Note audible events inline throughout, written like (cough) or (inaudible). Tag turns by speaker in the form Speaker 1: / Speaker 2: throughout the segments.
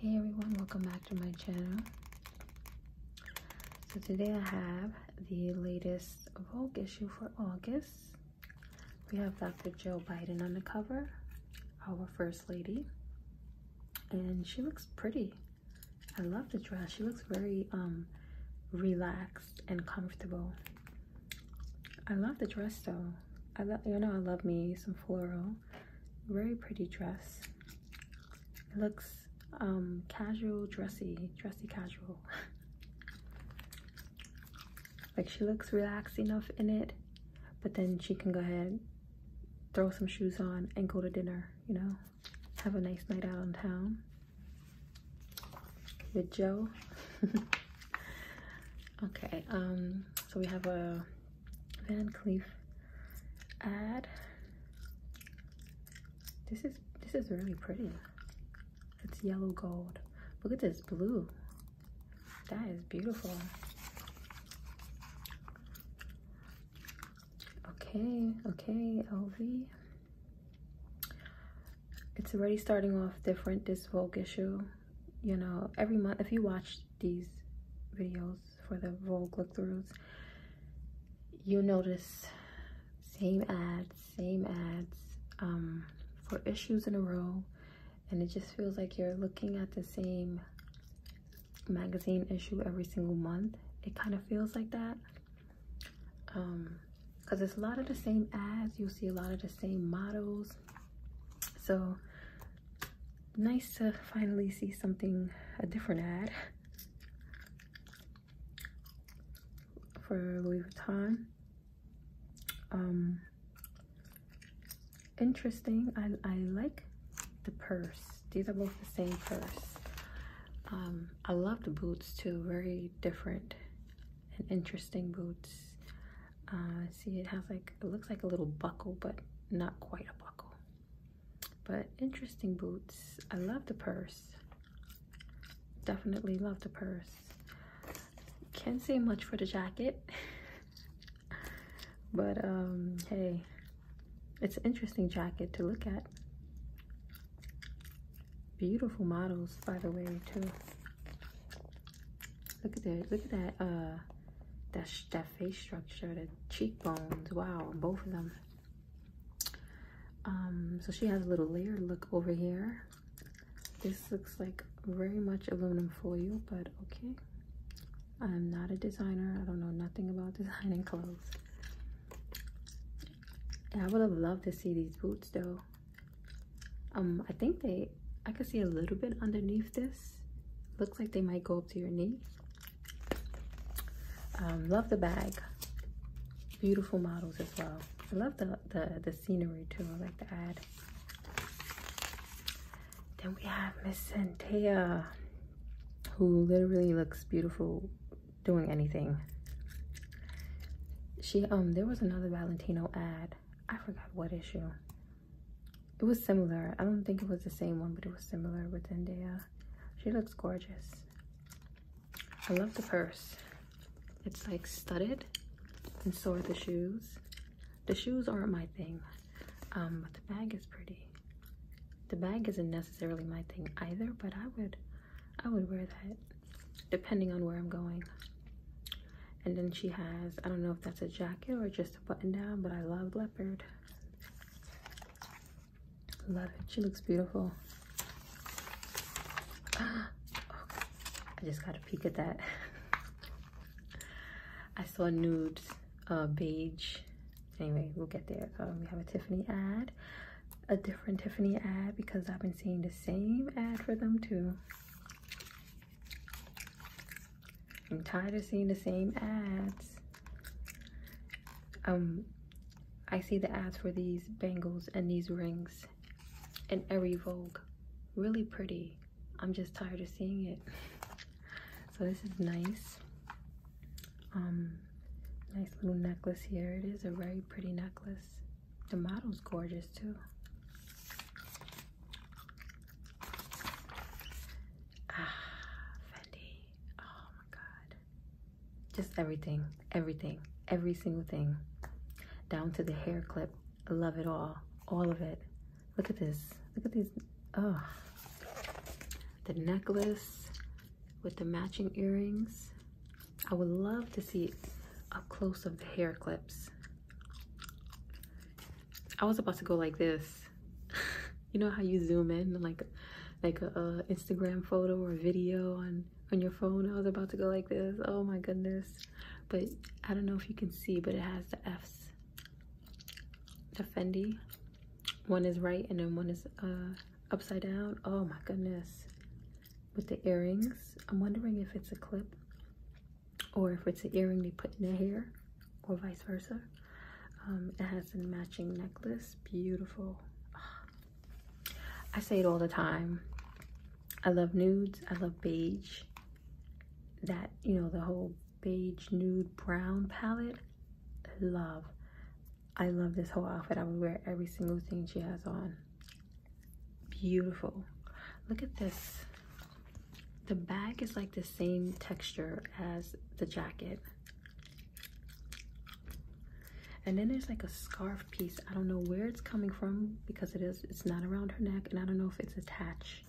Speaker 1: Hey everyone, welcome back to my channel. So today I have the latest Vogue issue for August. We have Dr. Joe Biden on the cover, our first lady. And she looks pretty. I love the dress. She looks very um, relaxed and comfortable. I love the dress though. I love, you know, I love me some floral. Very pretty dress. It looks um, casual, dressy, dressy casual. (laughs) like she looks relaxed enough in it, but then she can go ahead, throw some shoes on, and go to dinner, you know? Have a nice night out on town with Joe. (laughs) okay, um, so we have a Van Cleef ad. This is this is really pretty. It's yellow gold. Look at this blue. That is beautiful. Okay, okay, LV. It's already starting off different this Vogue issue you know every month if you watch these videos for the Vogue look-throughs you notice same ads same ads um, for issues in a row and it just feels like you're looking at the same magazine issue every single month it kind of feels like that because um, it's a lot of the same ads you'll see a lot of the same models so nice to finally see something, a different ad for Louis Vuitton. Um, interesting. I, I like the purse. These are both the same purse. Um, I love the boots too. Very different and interesting boots. Uh, see, it has like, it looks like a little buckle, but not quite a buckle. But interesting boots. I love the purse. Definitely love the purse. Can't say much for the jacket. (laughs) but um, hey, it's an interesting jacket to look at. Beautiful models, by the way, too. Look at that! Look at that! Uh, that, that face structure, the cheekbones, wow, both of them. Um, so she has a little layered look over here. This looks like very much aluminum foil, but okay. I'm not a designer. I don't know nothing about (laughs) designing clothes. I would have loved to see these boots though. Um, I think they I could see a little bit underneath this. Looks like they might go up to your knee. Um, love the bag. Beautiful models as well. I love the, the, scenery too. I like the ad. Then we have Miss Santia, who literally looks beautiful doing anything. She um there was another Valentino ad. I forgot what issue it was similar. I don't think it was the same one, but it was similar with Zendaya. She looks gorgeous. I love the purse. It's like studded and so are the shoes. The shoes aren't my thing, um, but the bag is pretty. The bag isn't necessarily my thing either, but I would, I would wear that depending on where I'm going. And then she has, I don't know if that's a jacket or just button down, but I love leopard. Love it. She looks beautiful. (gasps) I just got a peek at that. (laughs) I saw nude, uh, beige. Anyway, we'll get there. Um, we have a Tiffany ad, a different Tiffany ad because I've been seeing the same ad for them too. I'm tired of seeing the same ads. Um, I see the ads for these bangles and these rings in every Vogue. Really pretty. I'm just tired of seeing it. So this is nice. Um, nice little necklace here. It is a very pretty necklace. The model's gorgeous too. Ah, Fendi. Oh my god. Just everything, everything, every single thing. Down to the hair clip. love it all. All of it. Look at this. Look at these. Oh. The necklace with the matching earrings. I would love to see up close of the hair clips. I was about to go like this. (laughs) you know how you zoom in like like a, Instagram photo or video on on your phone. I was about to go like this. Oh my goodness. But I don't know if you can see, but it has the F's. The Fendi. One is right and then one is uh, upside down. Oh my goodness. With the earrings. I'm wondering if it's a clip or if it's an earring they put in their hair or vice versa um, it has a matching necklace beautiful I say it all the time I love nudes I love beige that you know the whole beige nude brown palette love I love this whole outfit I would wear every single thing she has on beautiful look at this the bag is like the same texture as the jacket and then there's like a scarf piece i don't know where it's coming from because it is it's not around her neck and i don't know if it's attached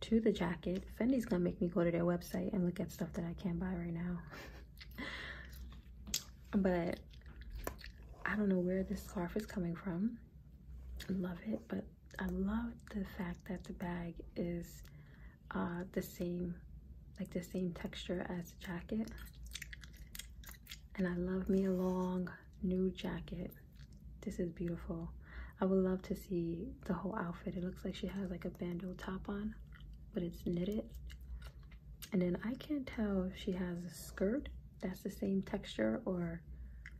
Speaker 1: to the jacket fendi's gonna make me go to their website and look at stuff that i can't buy right now (laughs) but i don't know where this scarf is coming from I love it but I love the fact that the bag is uh, the same, like the same texture as the jacket. And I love me a long new jacket. This is beautiful. I would love to see the whole outfit. It looks like she has like a bandeau top on, but it's knitted. And then I can't tell if she has a skirt that's the same texture or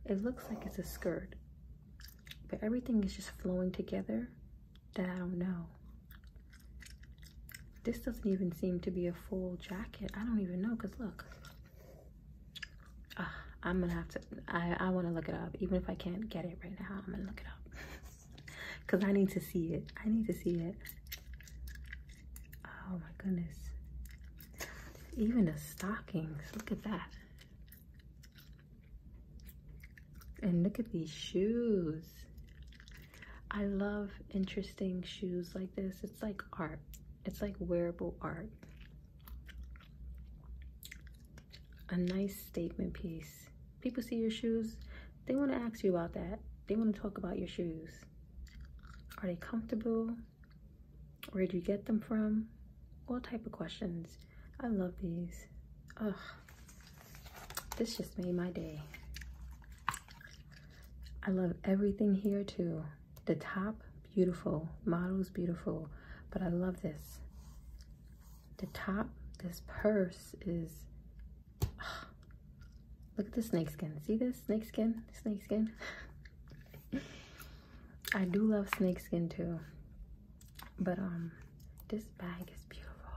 Speaker 1: it looks like it's a skirt but everything is just flowing together that I don't know. This doesn't even seem to be a full jacket. I don't even know because look. Ah, I'm gonna have to, I, I wanna look it up. Even if I can't get it right now, I'm gonna look it up. (laughs) Cause I need to see it. I need to see it. Oh my goodness. Even the stockings, look at that. And look at these shoes. I love interesting shoes like this. It's like art. It's like wearable art. A nice statement piece. People see your shoes, they want to ask you about that. They want to talk about your shoes. Are they comfortable? Where'd you get them from? What type of questions. I love these. Ugh. This just made my day. I love everything here too. The top, beautiful. Model's beautiful. But I love this. The top, this purse is... Look at the snakeskin. See this snakeskin? Snakeskin. (laughs) I do love snakeskin too. But um this bag is beautiful.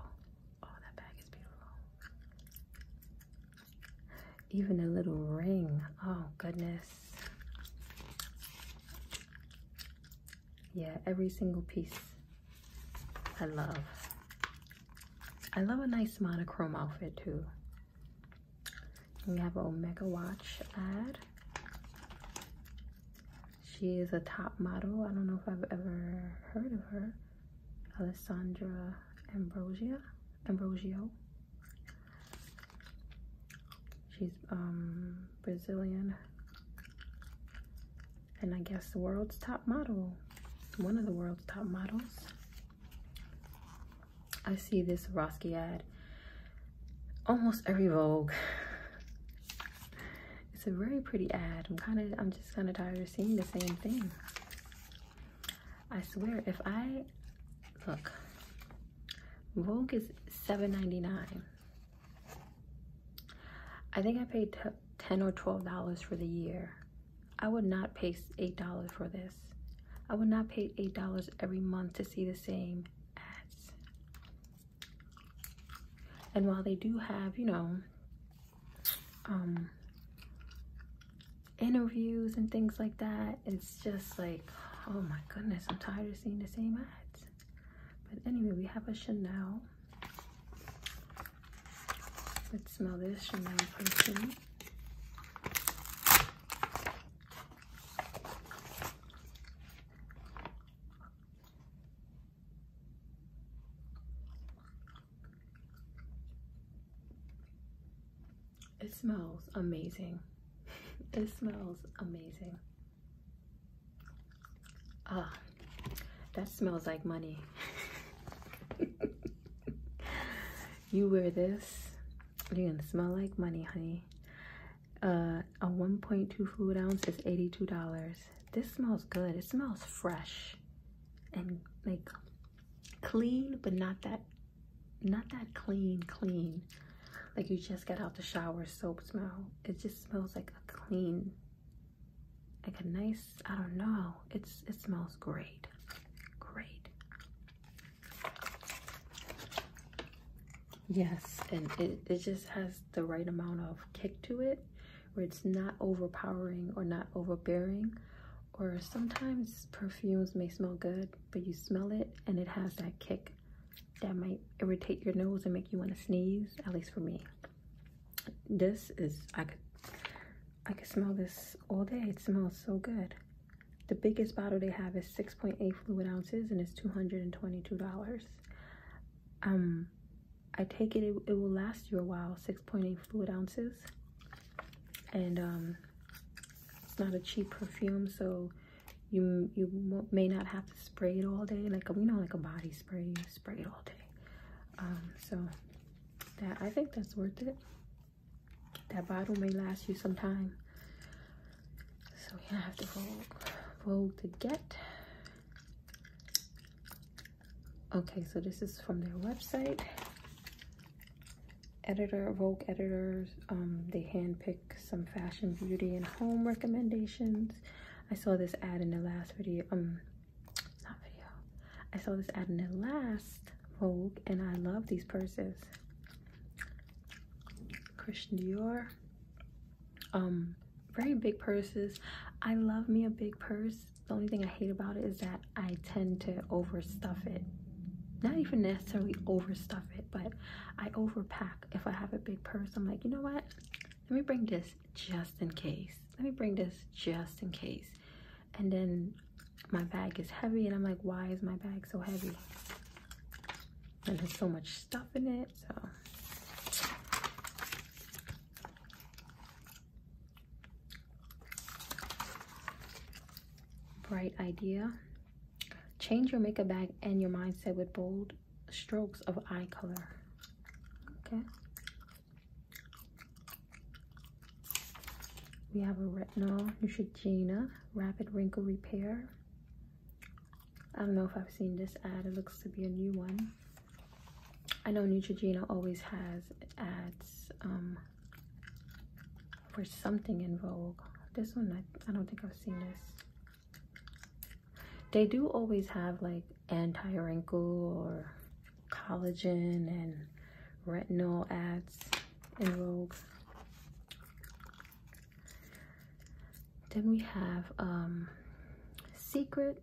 Speaker 1: Oh that bag is beautiful. Even a little ring. Oh goodness. Yeah, every single piece I love. I love a nice monochrome outfit too. We have an Omega Watch ad. She is a top model. I don't know if I've ever heard of her. Alessandra Ambrosia. Ambrosio. She's um, Brazilian. And I guess the world's top model. One of the world's top models. I see this Roski ad almost every Vogue. It's a very pretty ad. I'm kind of, I'm just kind of tired of seeing the same thing. I swear, if I, look, Vogue is $7.99. I think I paid 10 or $12 for the year. I would not pay $8 for this. I would not pay $8 every month to see the same ads. And while they do have, you know, um, interviews and things like that, it's just like, oh my goodness, I'm tired of seeing the same ads. But anyway, we have a Chanel. Let's smell this Chanel perfume. It smells amazing. (laughs) it smells amazing. Ah, that smells like money. (laughs) you wear this, you're gonna smell like money, honey. Uh, a 1.2 fluid ounce is $82. This smells good. It smells fresh and like clean, but not that not that clean clean like you just got out the shower soap smell it just smells like a clean like a nice i don't know it's it smells great great Yes, and it, it just has the right amount of kick to it where it's not overpowering or not overbearing. Or sometimes perfumes may smell good, but you smell it and it has that kick that might irritate your nose and make you want to sneeze, at least for me. This is, I could, I could smell this all day. It smells so good. The biggest bottle they have is 6.8 fluid ounces and it's $222. Um, I take it, it, will last you a while, 6.8 fluid ounces. And um, it's not a cheap perfume, so you you may not have to spray it all day. Like, we know, like a body spray, you spray it all day. Um, so that I think that's worth it. That bottle may last you some time. So we have to vote, vote to get. Okay, so this is from their website. Editor, Vogue editors, um, they handpick some fashion, beauty, and home recommendations. I saw this ad in the last video, um, not video. I saw this ad in the last Vogue, and I love these purses. Christian Dior um very big purses i love me a big purse the only thing i hate about it is that i tend to overstuff it not even necessarily overstuff it but i overpack if i have a big purse i'm like you know what let me bring this just in case let me bring this just in case and then my bag is heavy and i'm like why is my bag so heavy and there's so much stuff in it so bright idea change your makeup bag and your mindset with bold strokes of eye color okay we have a retinol neutrogena rapid wrinkle repair I don't know if I've seen this ad. It looks to be a new one. I know Neutrogena always has ads um, for something in Vogue. This one, I don't think I've seen this. They do always have like anti-wrinkle or collagen and retinol ads in Vogue. Then we have um, Secret.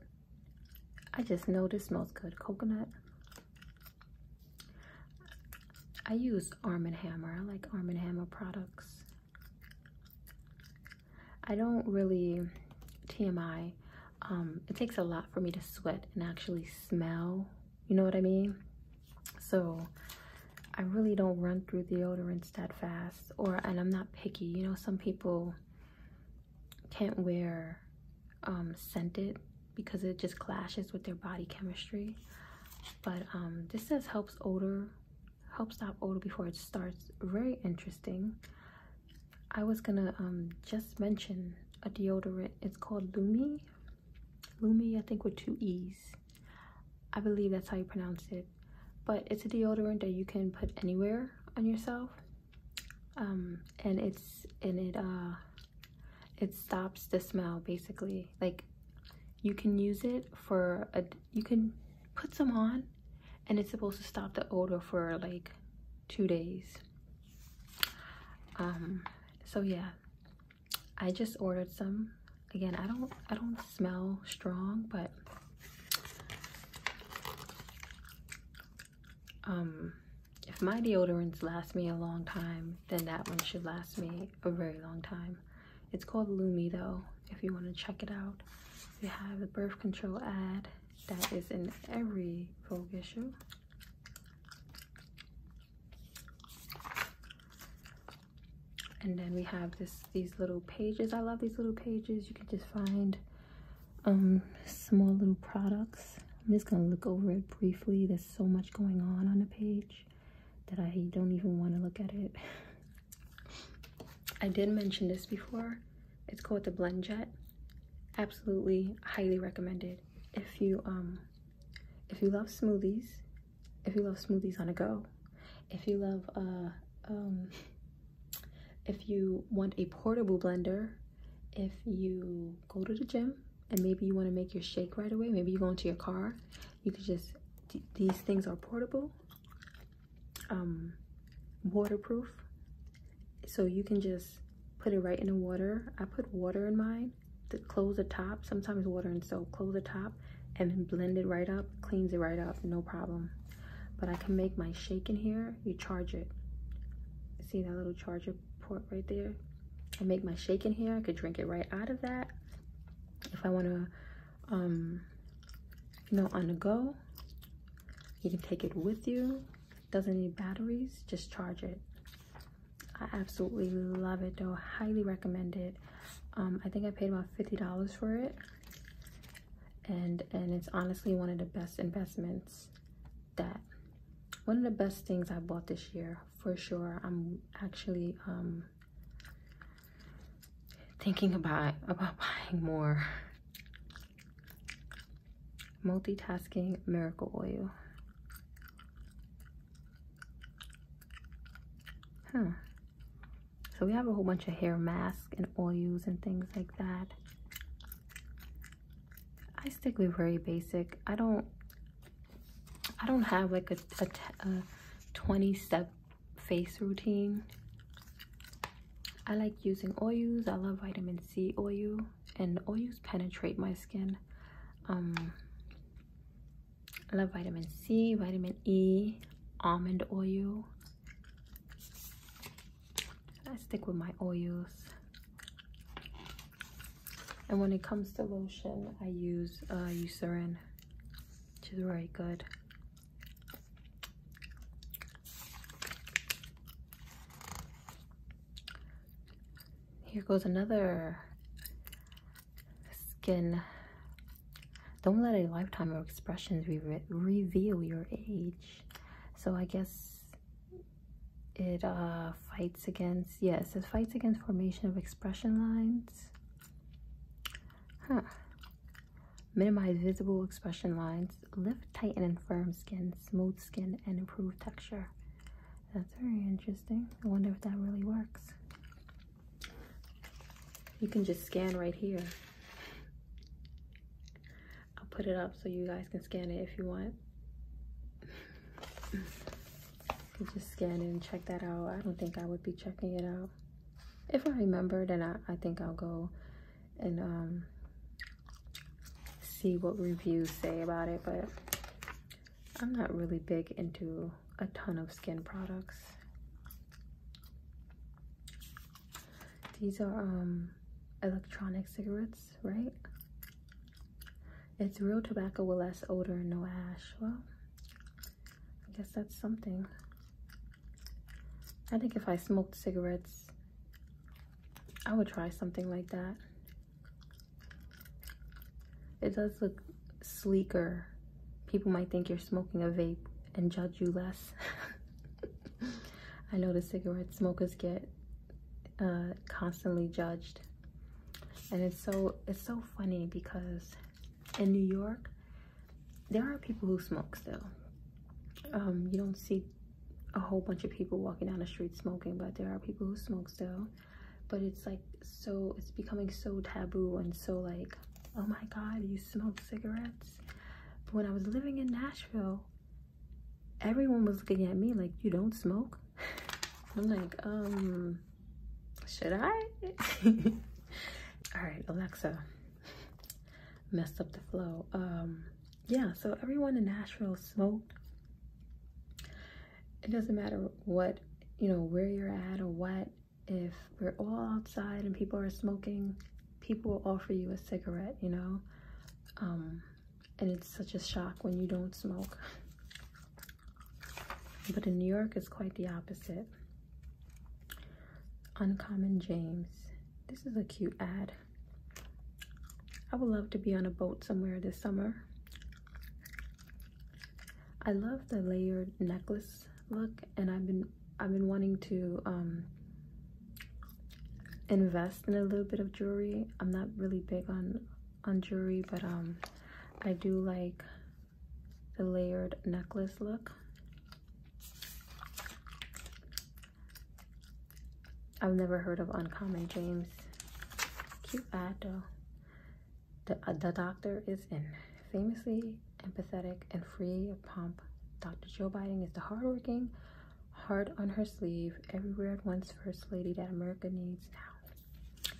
Speaker 1: I just know this smells good. Coconut. I use Arm & Hammer. I like Arm & Hammer products. I don't really TMI. Um, it takes a lot for me to sweat and actually smell. You know what I mean? So I really don't run through deodorants that fast or and I'm not picky. You know, some people can't wear um, scented because it just clashes with their body chemistry. But um, this says helps odor, help stop odor before it starts. Very interesting. I was gonna um, just mention a deodorant. It's called Lumi. Lumi, I think with two E's. I believe that's how you pronounce it. But it's a deodorant that you can put anywhere on yourself. Um, and it's and it uh it stops the smell basically. Like you can use it for a you can put some on and it's supposed to stop the odor for like two days. Um so yeah. I just ordered some again i don't i don't smell strong but um, if my deodorants last me a long time then that one should last me a very long time it's called lumi though if you want to check it out we have the birth control ad that is in every vogue issue and then we have this these little pages i love these little pages you can just find um, small little products i'm just gonna look over it briefly there's so much going on on the page that i don't even want to look at it i did mention this before it's called the Blendjet. absolutely highly recommended if you um if you love smoothies if you love smoothies on a go, if you love, uh, um, if you want a portable blender, if you go to the gym and maybe you want to make your shake right away, maybe you go into your car, you could just, these things are portable, um, waterproof, so you can just put it right in the water. I put water in mine to close the top, sometimes water and soap, close the top, top and blend it right up, cleans it right up, no problem. But I can make my shake in here, you charge it. See that little charger port right there? I make my shake in here, I could drink it right out of that. If I wanna, um, you know, on the go, you can take it with you. Doesn't need batteries, just charge it. I absolutely love it though, highly recommend it. Um, I think I paid about $50 for it. And, and it's honestly one of the best investments that, one of the best things I bought this year, for sure. I'm actually um, thinking about, about (laughs) buying more. Multitasking Miracle Oil. Huh. So we have a whole bunch of hair masks and oils and things like that. I stick with very basic. I don't I don't have like a, a, 20 step face routine. I like using oils. I love vitamin C oil and oils penetrate my skin. Um, I love vitamin C, vitamin E, almond oil. I stick with my oils. And when it comes to lotion, I use uh, Eucerin, which is very good. Here goes another skin. Don't let a lifetime of expressions reveal your age. So I guess it uh, fights against, yes, it fights against formation of expression lines. Huh. Minimize visible expression lines. Lift, tighten, and firm skin, smooth skin, and improve texture. That's very interesting. I wonder if that really works. You can just scan right here. I'll put it up so you guys can scan it if you want. just scan it and check that out. I don't think I would be checking it out. If I remember, then I, I think I'll go and um, see what reviews say about it. But I'm not really big into a ton of skin products. These are um, electronic cigarettes, right? It's real tobacco with less odor no ash. Well, I guess that's something. I think if I smoked cigarettes, I would try something like that. It does look sleeker. People might think you're smoking a vape and judge you less. (laughs) I know the cigarette smokers get uh, constantly judged. And it's so it's so funny because in New York, there are people who smoke still. Um, you don't see a whole bunch of people walking down the street smoking, but there are people who smoke still. But it's like so it's becoming so taboo and so like oh my god you smoke cigarettes but when i was living in nashville everyone was looking at me like you don't smoke (laughs) i'm like um should i (laughs) all right alexa messed up the flow um yeah so everyone in nashville smoked it doesn't matter what you know where you're at or what if we're all outside and people are smoking, people will offer you a cigarette, you know? Um, and it's such a shock when you don't smoke. But in New York, it's quite the opposite. Uncommon James. This is a cute ad. I would love to be on a boat somewhere this summer. I love the layered necklace look and I've been I've been wanting to um, invest in a little bit of jewelry. I'm not really big on on jewelry, but um, I do like the layered necklace look. I've never heard of Uncommon James. Cute ad though. The, uh, the doctor is in. Famously empathetic and free of pomp, Dr. Joe Biden is the hardworking, hard on her sleeve, everywhere at once first lady that America needs now.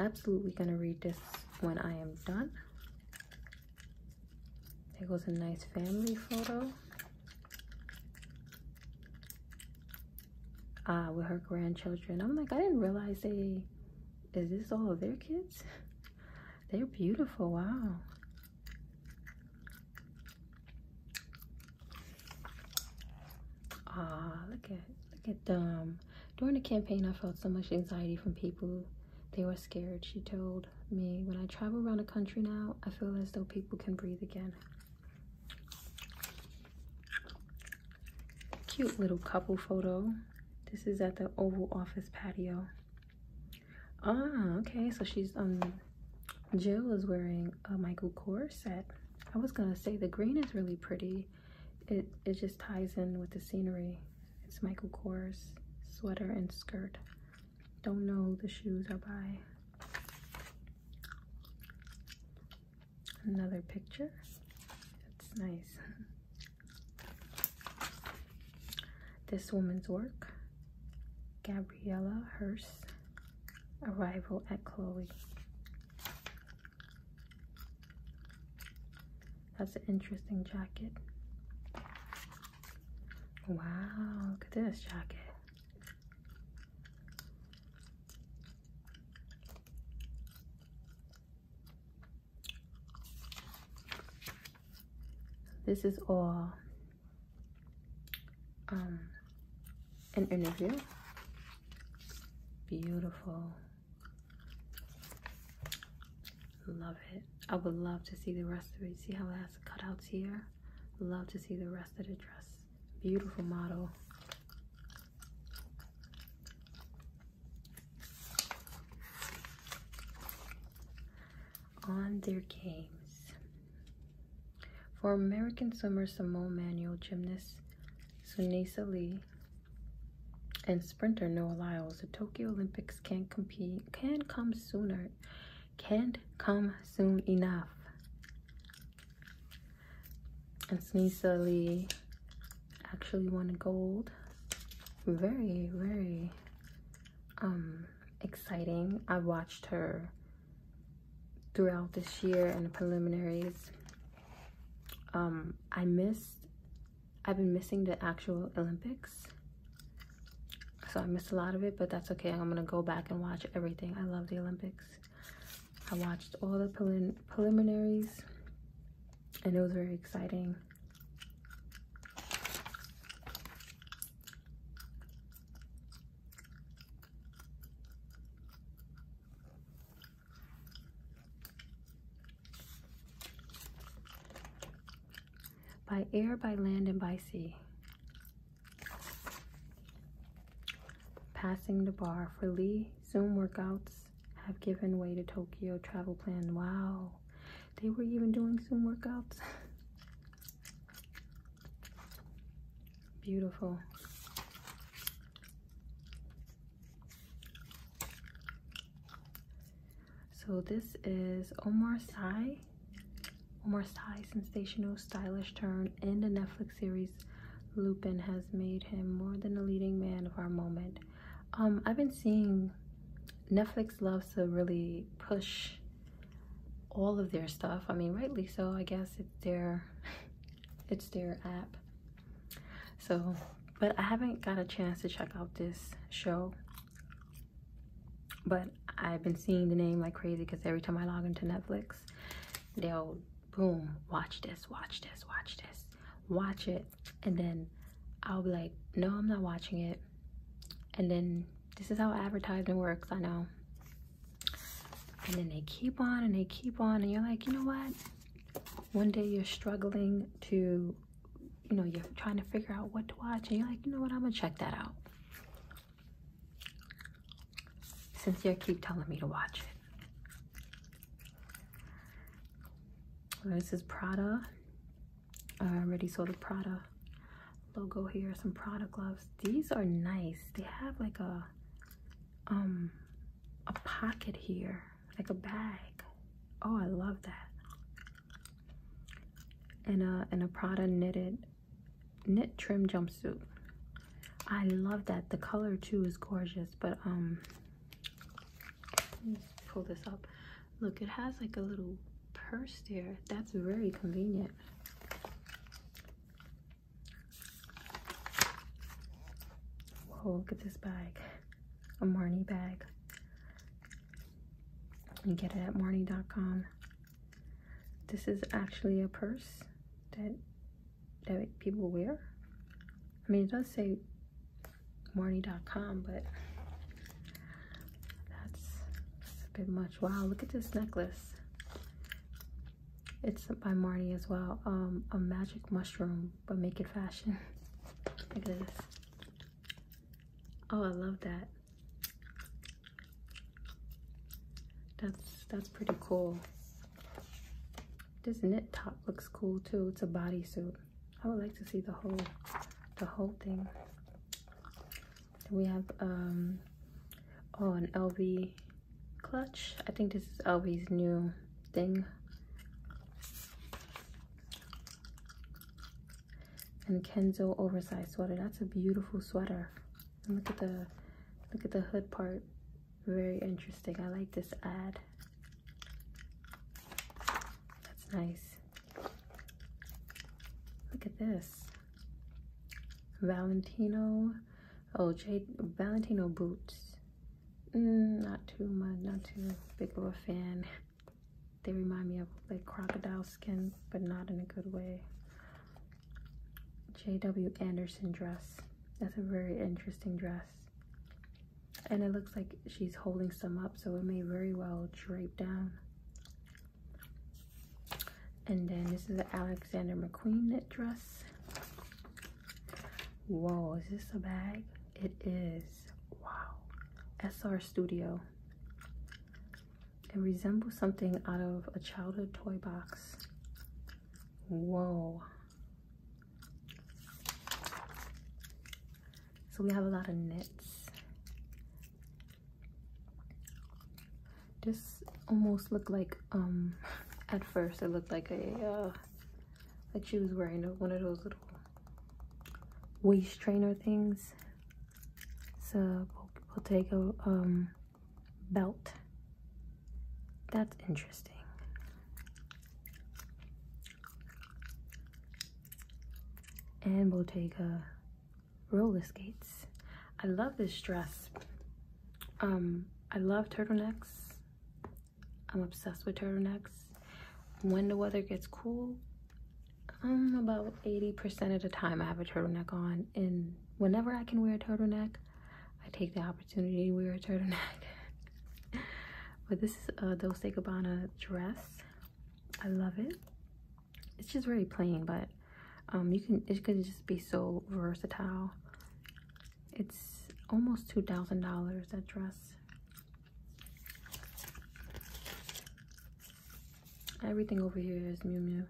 Speaker 1: Absolutely gonna read this when I am done. It was a nice family photo. Ah, with her grandchildren. I'm like, I didn't realize they is this all of their kids? They're beautiful, wow. Ah, look at look at them. During the campaign, I felt so much anxiety from people. They were scared, she told me. When I travel around the country now, I feel as though people can breathe again. Cute little couple photo. This is at the Oval Office patio. Ah, okay. So she's um, Jill is wearing a Michael Kors set. I was gonna say the green is really pretty. It it just ties in with the scenery. It's Michael Kors sweater and skirt. Don't know the shoes are by. Another picture. That's nice. This woman's work, Gabriella Hearst, Arrival at Chloe. That's an interesting jacket. Wow, look at this jacket. This is all um, an interview. Beautiful. Love it. I would love to see the rest of it. See how it has cutouts here? Love to see the rest of the dress. Beautiful model on their games. For American swimmer Simone Manuel, gymnast Sunisa Lee, and sprinter Noah Lyles, the Tokyo Olympics can not compete can come sooner, can't come soon enough. And Sunisa Lee actually won gold. Very, very um, exciting. I watched her throughout this year and the preliminaries. Um, I missed, I've been missing the actual Olympics. So I missed a lot of it, but that's okay. I'm gonna go back and watch everything. I love the Olympics. I watched all the prelim preliminaries and it was very exciting. By air, by land, and by sea. Passing the bar for Lee, Zoom workouts, have given way to Tokyo travel plan. Wow, they were even doing some workouts. (laughs) Beautiful. So this is Omar Sy. Omar Sy, sensational, stylish turn in the Netflix series Lupin has made him more than a leading man of our moment. Um, I've been seeing Netflix loves to really push all of their stuff. I mean, rightly so. I guess it's their (laughs) it's their app. So, but I haven't got a chance to check out this show. But I've been seeing the name like crazy because every time I log into Netflix, they'll boom, watch this, watch this, watch this watch it and then I'll be like, no, I'm not watching it. And then this is how advertising works, I know. And then they keep on and they keep on and you're like, you know what? One day you're struggling to, you know, you're trying to figure out what to watch and you're like, you know what, I'm gonna check that out. Since you keep telling me to watch it. This is Prada. I already saw the Prada logo here. Some Prada gloves. These are nice. They have like a um a pocket here, like a bag. Oh, I love that. And a and a Prada knitted knit trim jumpsuit. I love that. The color too is gorgeous, but um pull this up look it has like a little purse there that's very convenient whoa oh, look at this bag a Marnie bag You get it at Marnie.com this is actually a purse that that people wear I mean it does say Marnie.com, but that's, that's a bit much. Wow, look at this necklace. It's by Marnie as well. Um, a magic mushroom, but make it fashion. (laughs) look at this. Oh, I love that. That's that's pretty cool. This knit top looks cool too. It's a bodysuit. I would like to see the whole the whole thing. We have um oh an LV clutch. I think this is LV's new thing. And Kenzo oversized sweater. That's a beautiful sweater. look at the look at the hood part. Very interesting. I like this ad. That's nice. Look at this. Valentino, oh, J Valentino boots. Mm, not too much, not too big of a fan. They remind me of like crocodile skin, but not in a good way. J.W. Anderson dress. That's a very interesting dress and it looks like she's holding some up so it may very well drape down and then this is the Alexander McQueen knit dress whoa is this a bag it is wow SR Studio it resembles something out of a childhood toy box whoa so we have a lot of knits. This almost looked like, um, (laughs) at first it looked like a, uh, like she was wearing one of those little waist trainer things. It's a Bottega, um, belt. That's interesting and Bottega roller skates. I love this dress. Um, I love turtlenecks. I'm obsessed with turtlenecks. When the weather gets cool, I'm um, about 80% of the time I have a turtleneck on and whenever I can wear a turtleneck, I take the opportunity to wear a turtleneck. (laughs) but this uh a Dolce Gabbana dress. I love it. It's just very plain, but um, you can it could just be so versatile. It's almost two thousand dollars that dress. Everything over here is Miu Miu.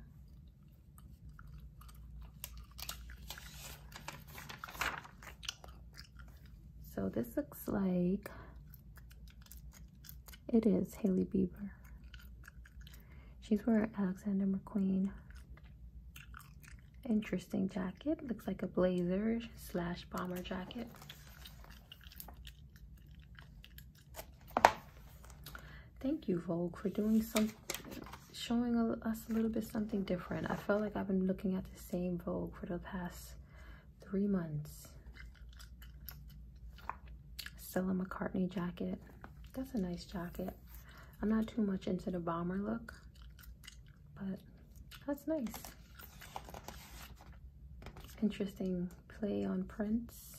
Speaker 1: So this looks like it is Haley Bieber. She's wearing Alexander McQueen. Interesting jacket. Looks like a blazer slash bomber jacket. Thank you, Vogue, for doing some, showing us a little bit something different. I felt like I've been looking at the same Vogue for the past three months. Stella McCartney jacket. That's a nice jacket. I'm not too much into the bomber look, but that's nice. Interesting play on prints.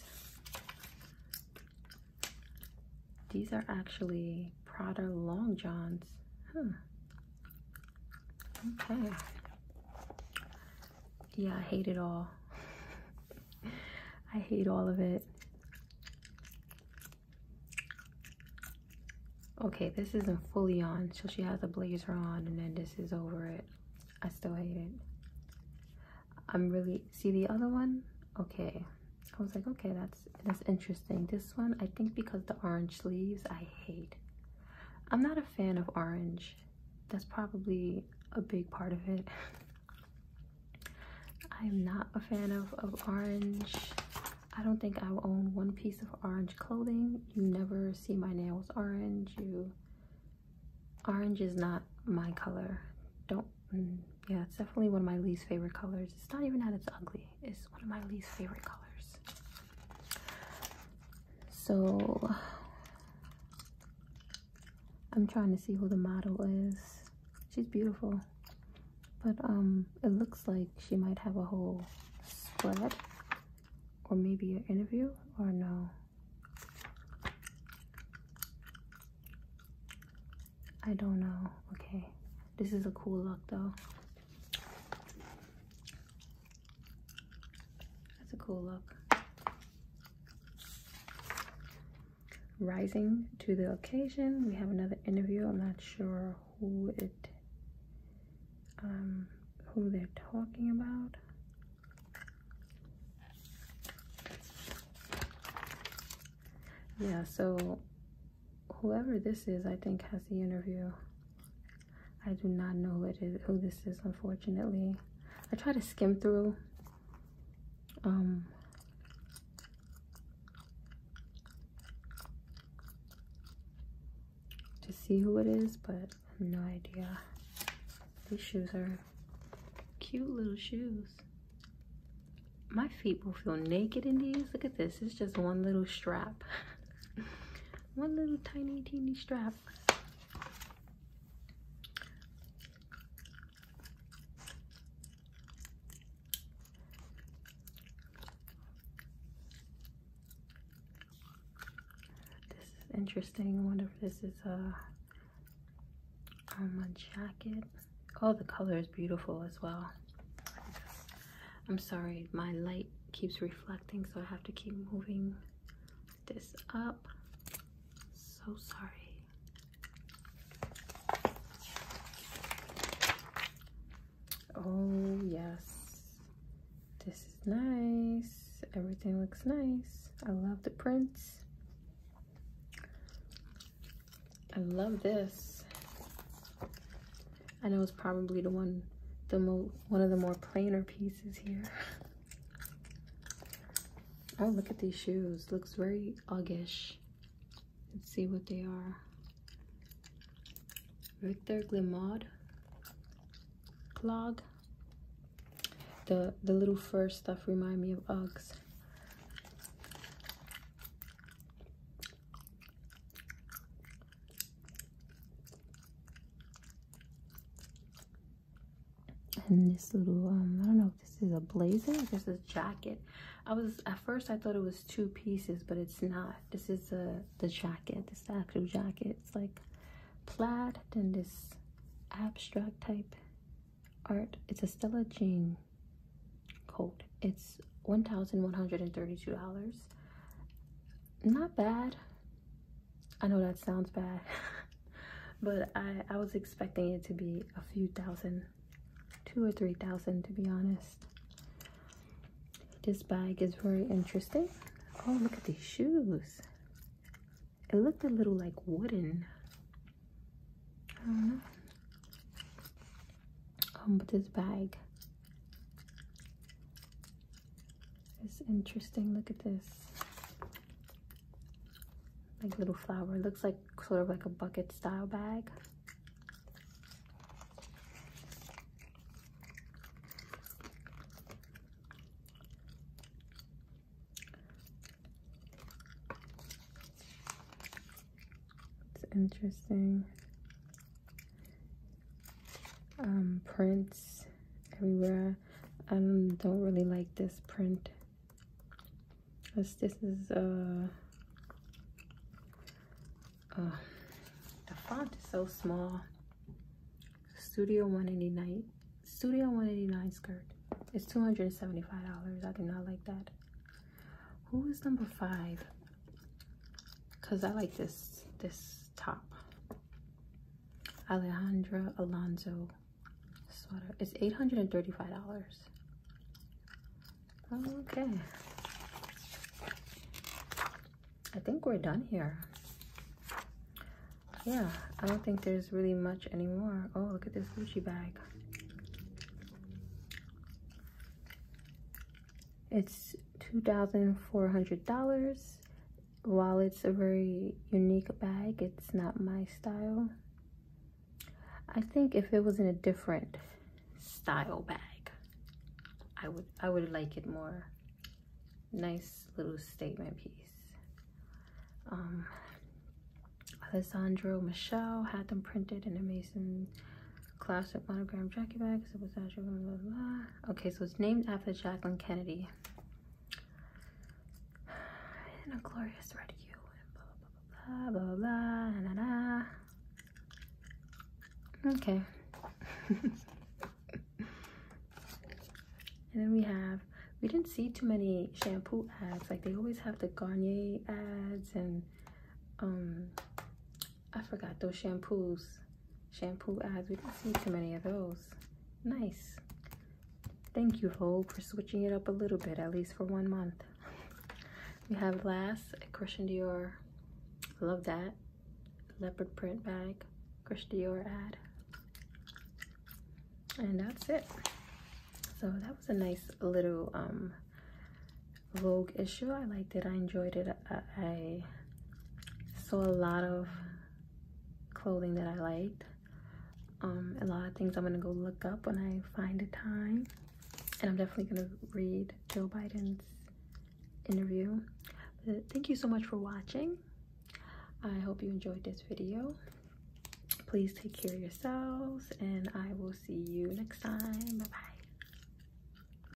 Speaker 1: These are actually Prada long johns. Huh, Okay. Yeah, I hate it all. I hate all of it. Okay, this isn't fully on, so she has a blazer on and then this is over it. I still hate it. I'm really, see the other one? Okay. I was like, okay, that's that's interesting. This one, I think because the orange leaves, I hate. I'm not a fan of orange. That's probably a big part of it. (laughs) I'm not a fan of, of orange. I don't think I own one piece of orange clothing. You never see my nails orange. You, orange is not my color. Don't, mm, yeah, it's definitely one of my least favorite colors. It's not even that it's ugly is one of my least favorite colors. So I'm trying to see who the model is. She's beautiful. But um it looks like she might have a whole spread or maybe an interview or no. I don't know. Okay. This is a cool look though. That's a cool look. Rising to the occasion, we have another interview. I'm not sure who it, um, who they're talking about. Yeah, so whoever this is, I think, has the interview. I do not know who, it is, who this is, unfortunately. I try to skim through. Um, to see who it is, but no idea. These shoes are cute little shoes. My feet will feel naked in these. Look at this. It's just one little strap. (laughs) one little tiny teeny strap this is interesting I wonder if this is a on my jacket oh the color is beautiful as well I'm sorry, my light keeps reflecting, so I have to keep moving this up. So sorry. Oh, yes. This is nice. Everything looks nice. I love the prints. I love this. I know it's probably the one, the mo one of the more plainer pieces here. Oh, look at these shoes. Looks very Uggish. Let's see what they are. Victor Glimaud clog. The, the little fur stuff remind me of Uggs. And this little, um, I don't know this is a blazer. This is a jacket. I was, at first I thought it was two pieces, but it's not. This is the, the jacket. This is the actual jacket. It's like plaid, then this abstract type art. It's a Stella Jean coat. It's $1,132 not bad. I know that sounds bad, (laughs) but I, I was expecting it to be a few thousand, two or three thousand to be honest. This bag is very interesting. Oh, look at these shoes. It looked a little like wooden. I don't know. Um, but this bag it's interesting. Look at this. Like little flower. It looks like sort of like a bucket style bag. It's interesting. Um, prints everywhere. I don't really like this print. Cause this is, uh, uh, the font is so small. Studio 189, Studio 189 skirt. It's $275. I do not like that. Who is number five? because I like this this top. Alejandra Alonso sweater. It's eight hundred and thirty-five dollars. Okay. I think we're done here. Yeah, I don't think there's really much anymore. Oh, look at this Gucci bag. It's $2,400. While it's a very unique bag, it's not my style. I think if it was in a different style bag, I would I would like it more. Nice little statement piece. Um, Alessandro Michelle had them printed in amazing classic monogram Jackie bag blah, blah, blah. Okay, so it's named after Jacqueline Kennedy. And a glorious red hue and blah, blah, blah, blah, blah, blah, nah, Okay. (laughs) and then we have, we didn't see too many shampoo ads. Like they always have the Garnier ads and um, I forgot those shampoos. Shampoo eyes. We didn't see too many of those. Nice. Thank you, Vogue, for switching it up a little bit, at least for one month. (laughs) we have last Christian Dior. Love that. Leopard print bag. Christian Dior ad. And that's it. So that was a nice little um, Vogue issue. I liked it. I enjoyed it. I, saw a lot of clothing that I liked. Um, a lot of things I'm gonna go look up when I find a time. And I'm definitely gonna read Joe Biden's interview. thank you so much for watching. I hope you enjoyed this video. Please take care of yourselves and I will see you next time. Bye-bye.